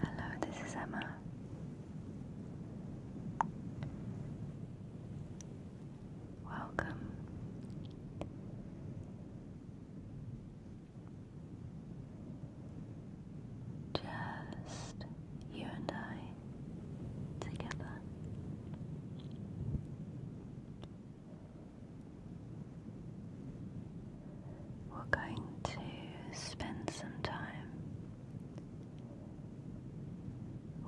Hello, this is Emma. Welcome. Just you and I together. We're going to spend some time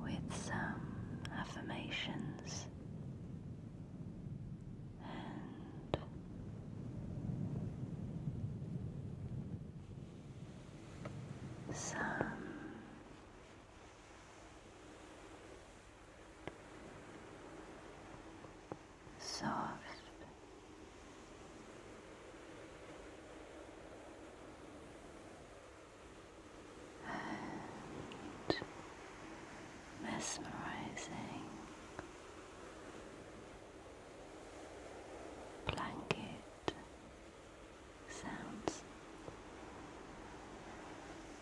with some affirmations and some soft. mesmerizing blanket sounds.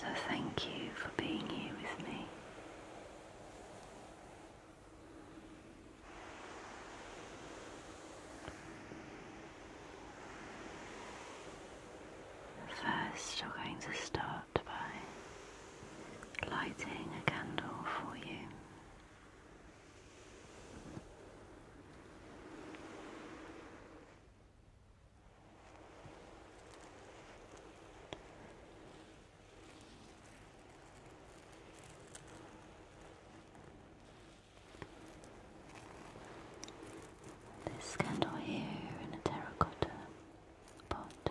So, thank you for being here with me. First, we're going to start by lighting a candle for you. This candle here in a terracotta pot.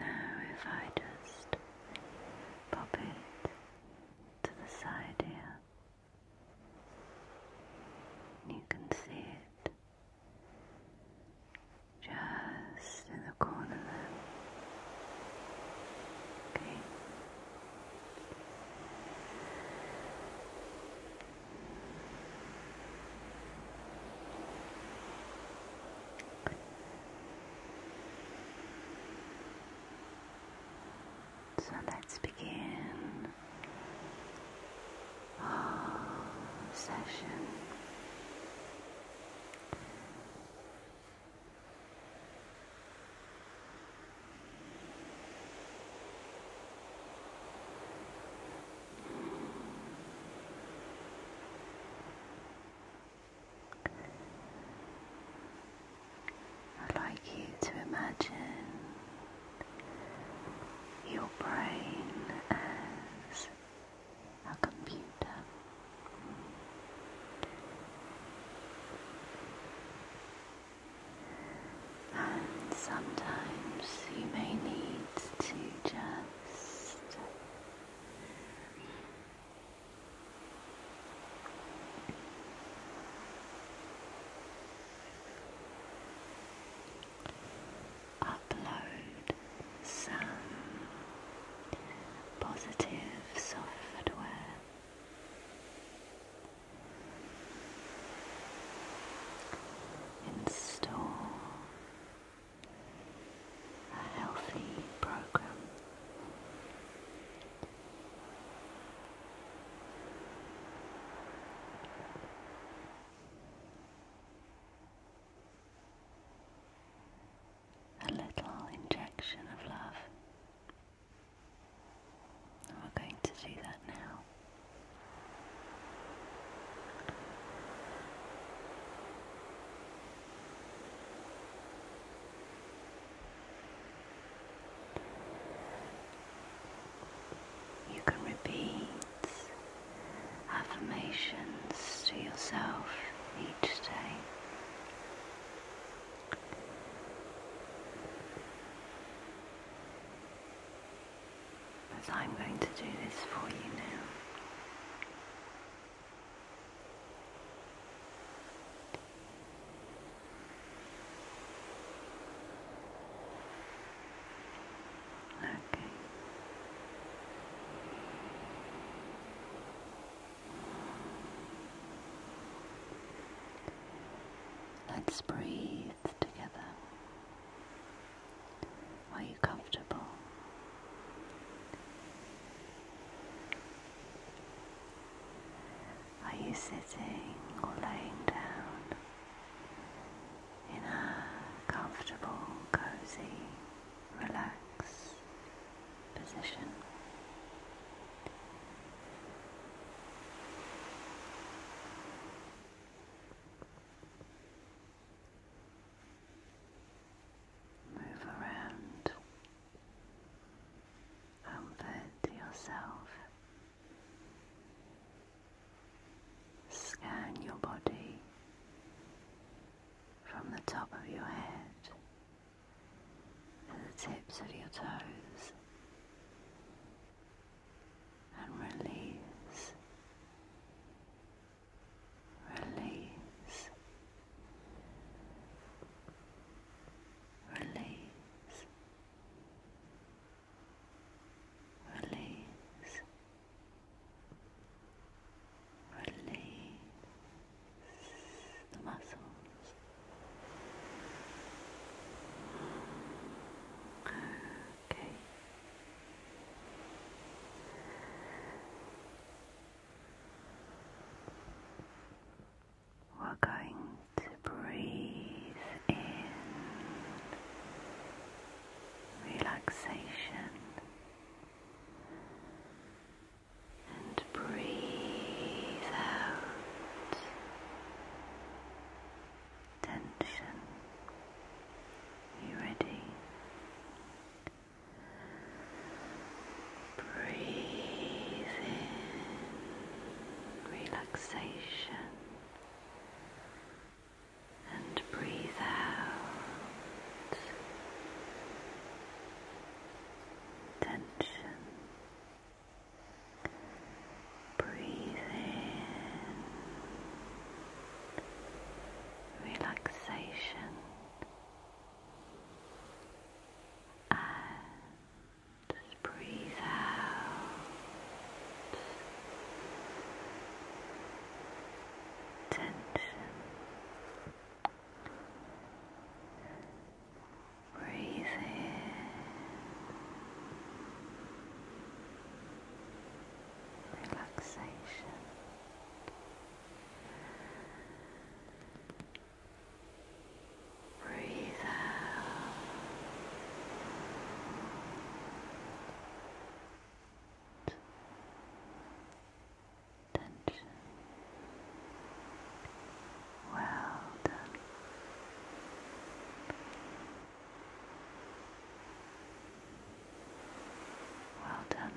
Now, if I just pop it to the side here, you can see it just in the corner there. Okay. So let's begin our session i like you to imagine your brain as a computer. And sometimes you may need to just upload some positive software Install a healthy program. A little injection of love and we're going to do that now. You can repeat affirmations to yourself each day. As I'm going to do this for you now. Okay. Let's breathe together. Are you comfortable? Are you sitting or laying down in a comfortable, cozy, relaxed position. Move around, comfort yourself, scan your body from the top of your head to the tips of your toes and release, release, release, release, release the muscles. Okay. We're going to breathe in relaxation and breathe out tension. You ready? Breathe in relaxation and breathe out tension. Breathe relaxation and breathe out tension. Breathe in. Relaxation. Breathe out. Well done. Well done.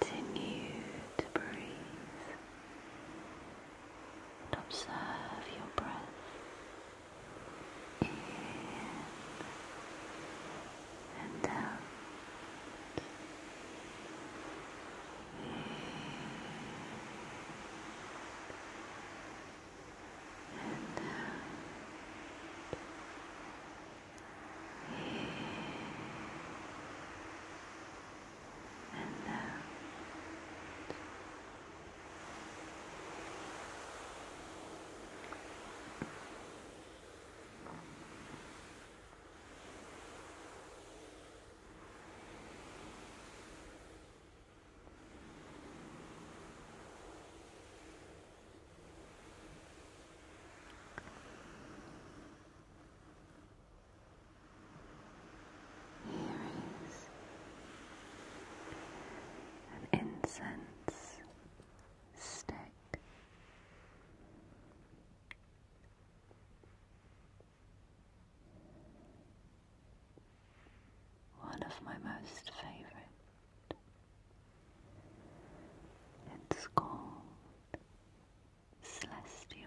Continue to breathe and observe your breath and out. Uh, and out. And out. Earrings and incense stick. One of my most favorite. It's called Celestial.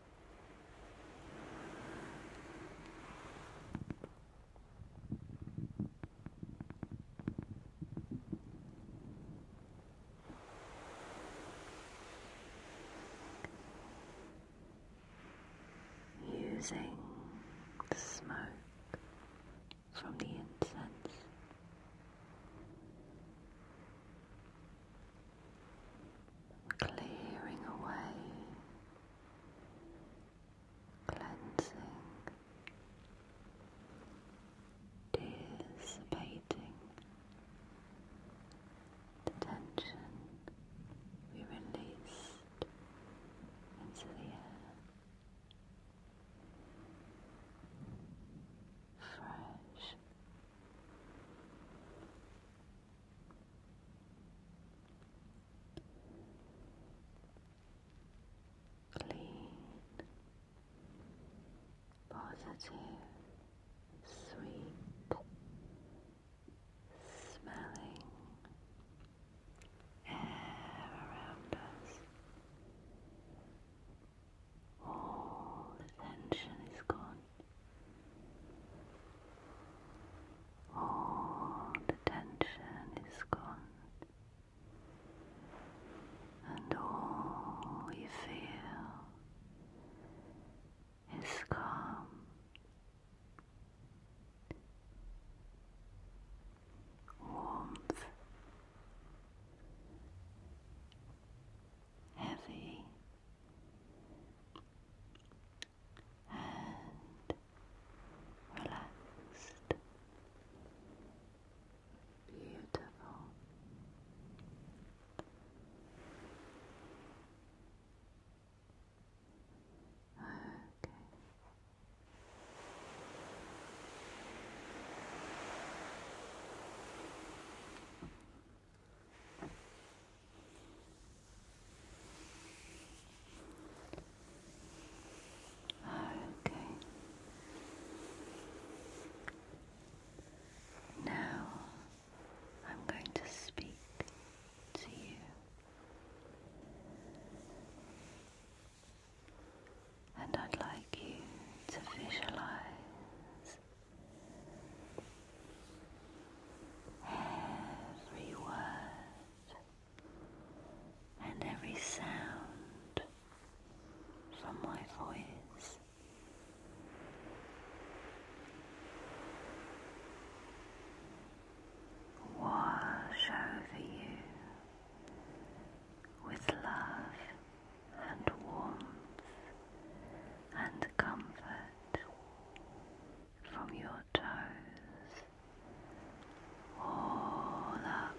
Using the smoke from the incense clearing away, cleansing, dissipating the tension we released into the air. Fresh, clean, positive, sweet, smelling air around us. All the tension is gone. All the tension is gone, and all you feel is calm. Warmth, heavy and relaxed. Beautiful. Okay. Okay. Now I'm going to speak to you. And I'd like you to visualize Every word and every sound from my voice. Wash over you with love and warmth and comfort from your toes all up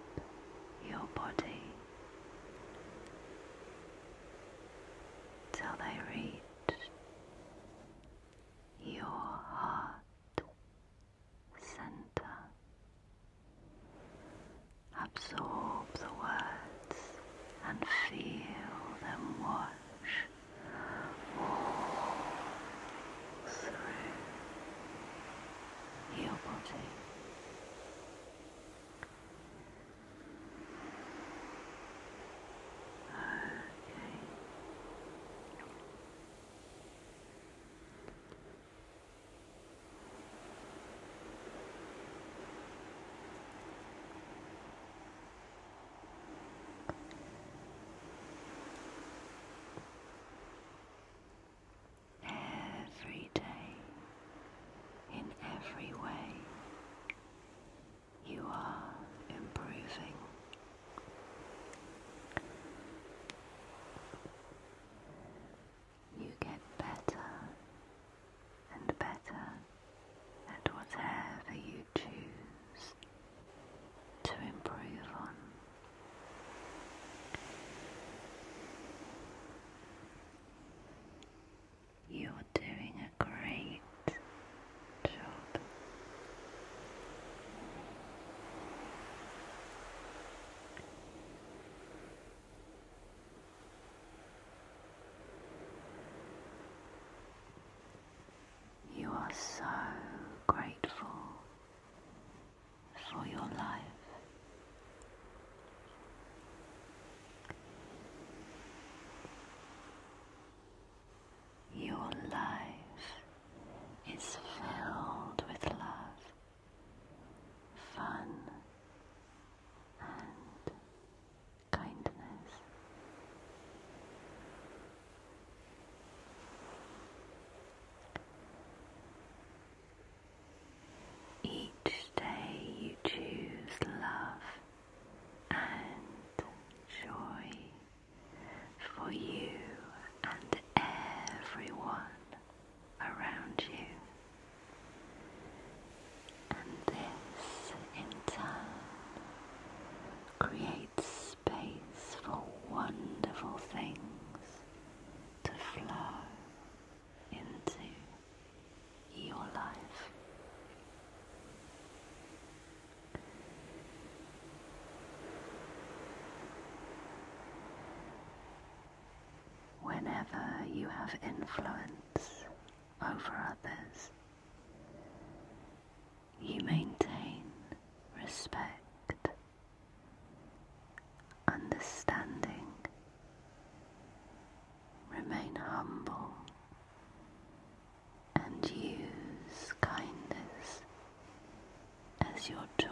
your body till they reach your heart center. Absorb the words and feel them wash all through your body. Okay. Every day, in every way, you are improving. You get better and better and whatever you choose to improve on. You're doing a great job. You are so grateful for your life. Your life is filled with love, fun, and kindness. Each day you choose love and joy for you and everyone around you. And this, in turn, creates space for wonderful things to flow into your life. Whenever you have influence over others. You maintain respect, understanding, remain humble, and use kindness as your tool.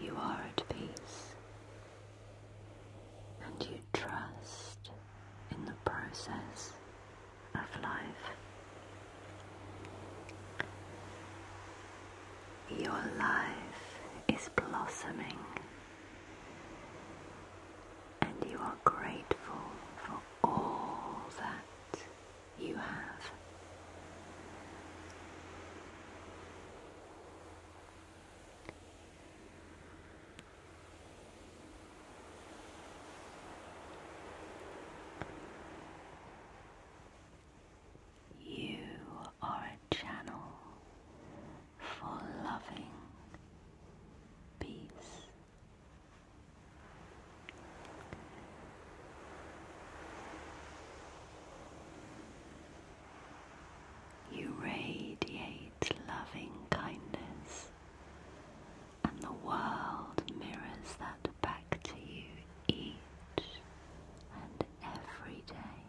You are at peace and you trust in the process of life. Your life is blossoming, and you are grateful for all that you have. You are a channel for loving peace. You radiate loving kindness and the world mirrors that back to you each and every day.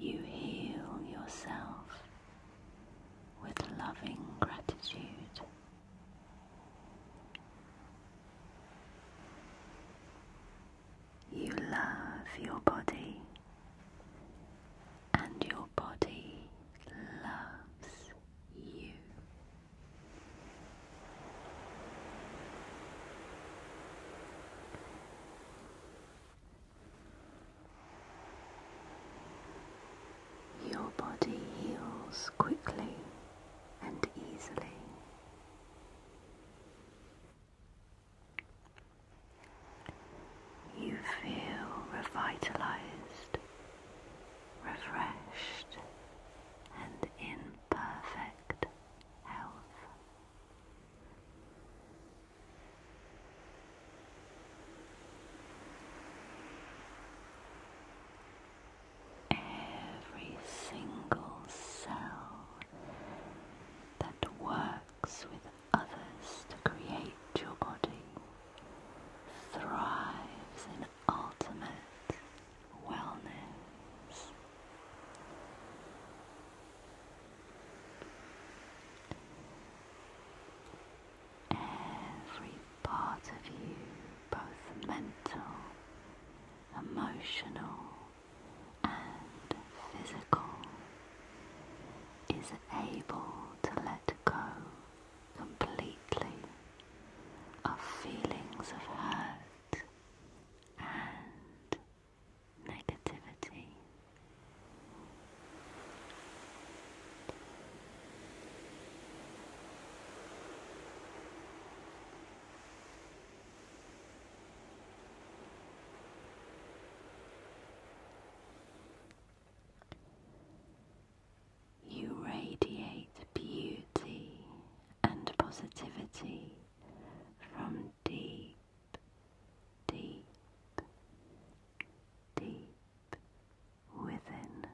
You heal yourself with loving gratitude. You love your body, and your body loves you. Your body heals quickly and easily. You feel revitalized, refreshed, and in perfect health every single cell that works with others to create your body thrives in ultimate wellness every part of you, both mental, emotional, and physical, is able to let go completely of feelings of hurt and negativity. You radiate beauty and positivity from deep, deep, deep within.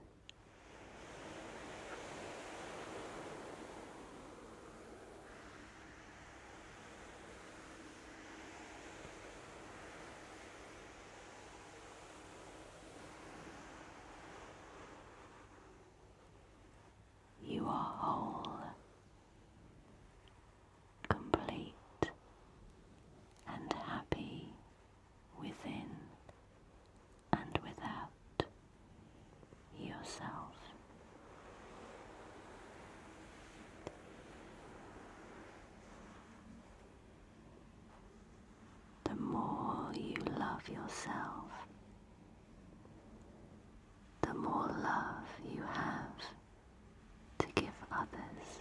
You are whole, complete, and happy within and without yourself. The more you love yourself, the more love you have to give others.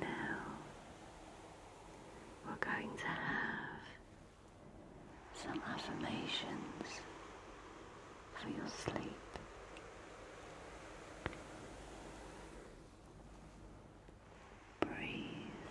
Now we're going to have some affirmations for your sleep. Breathe.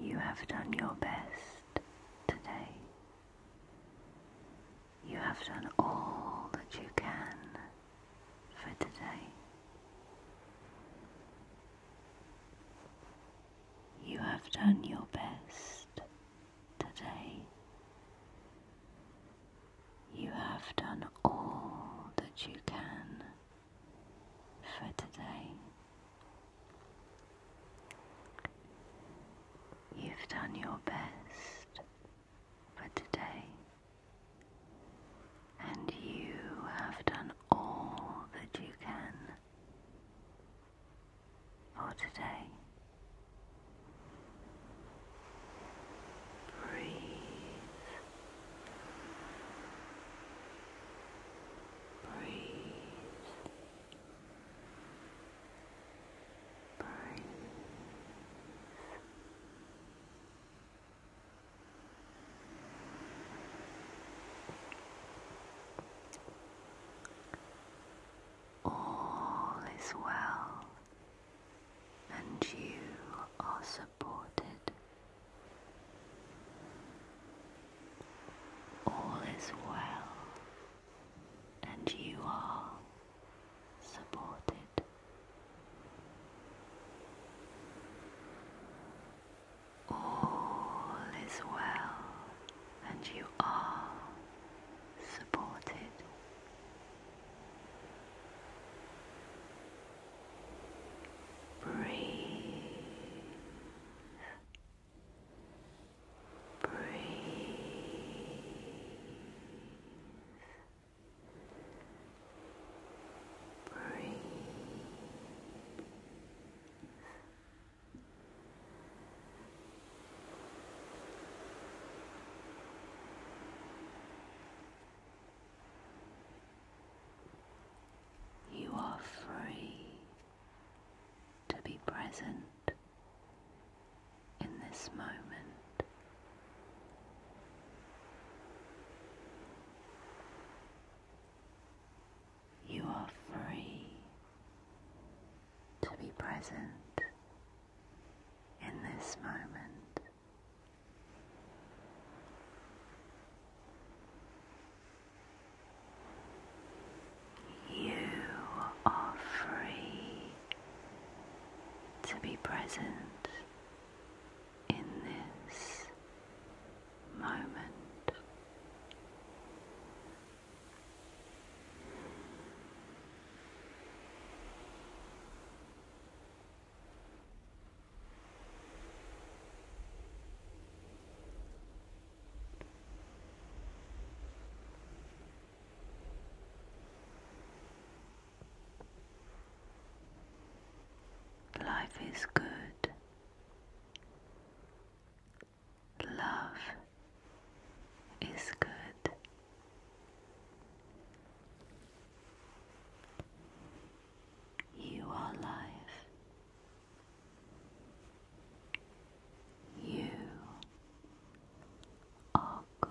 You have done your best today. You have done all that you can for today. You have done your best today. You have done all that you can for today. You've done your best for today, and you have done all that you can for today. Breathe. Breathe. Breathe all is well and you are supported. All is well and you are supported. All is well and you are supported. Breathe. Breathe. Breathe. You are free to be present in this moment. You are free to be present in this moment. You are free to be present in this moment. Life is good. Love is good. You are life. You are good.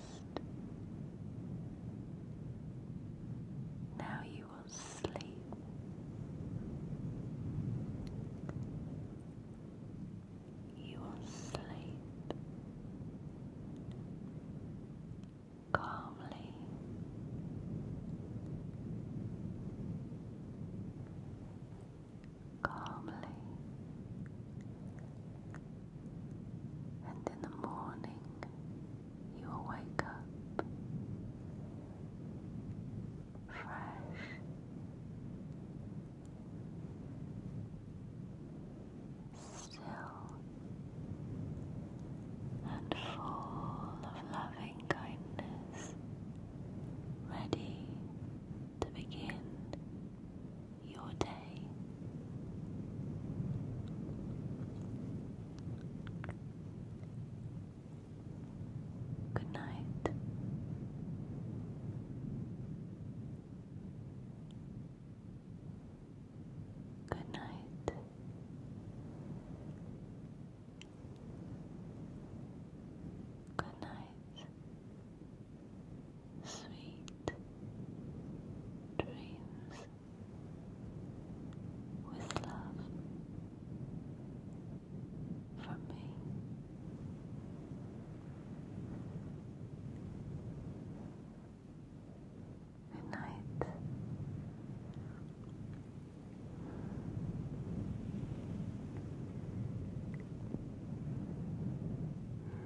Now you will sleep. You will sleep calmly calmly. And in the morning, you wake up fresh. Still and full of loving kindness, ready to begin your day. Good night. Good night. Good night. Sweet dreams with love from me. Good